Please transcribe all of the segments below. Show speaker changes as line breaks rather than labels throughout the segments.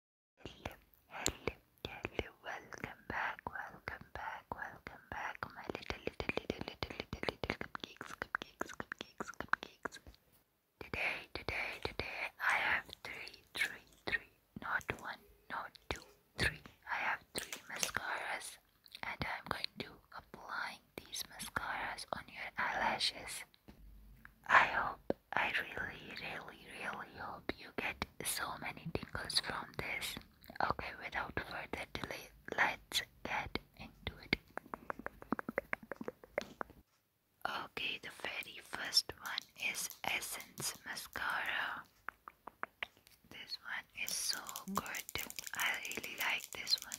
Hello, hello, hello, welcome back, welcome back, welcome back, my little, little, little, little, little, little cupcakes, cupcakes, cupcakes, cupcakes. Today, today, today, I have three, three, three, not one, not two, three. I have three mascaras, and I'm going to apply these mascaras on your eyelashes. I hope, I really, really, really hope you get so many tingles from this. Okay, without further delay, let's get into it. Okay, the very first one is Essence Mascara.
This one is so good. I really like this one.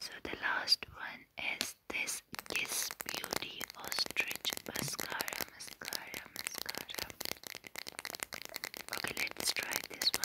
So the last one is this Kiss Beauty Ostrich Mascara, Mascara, Mascara. Okay, let's try this one.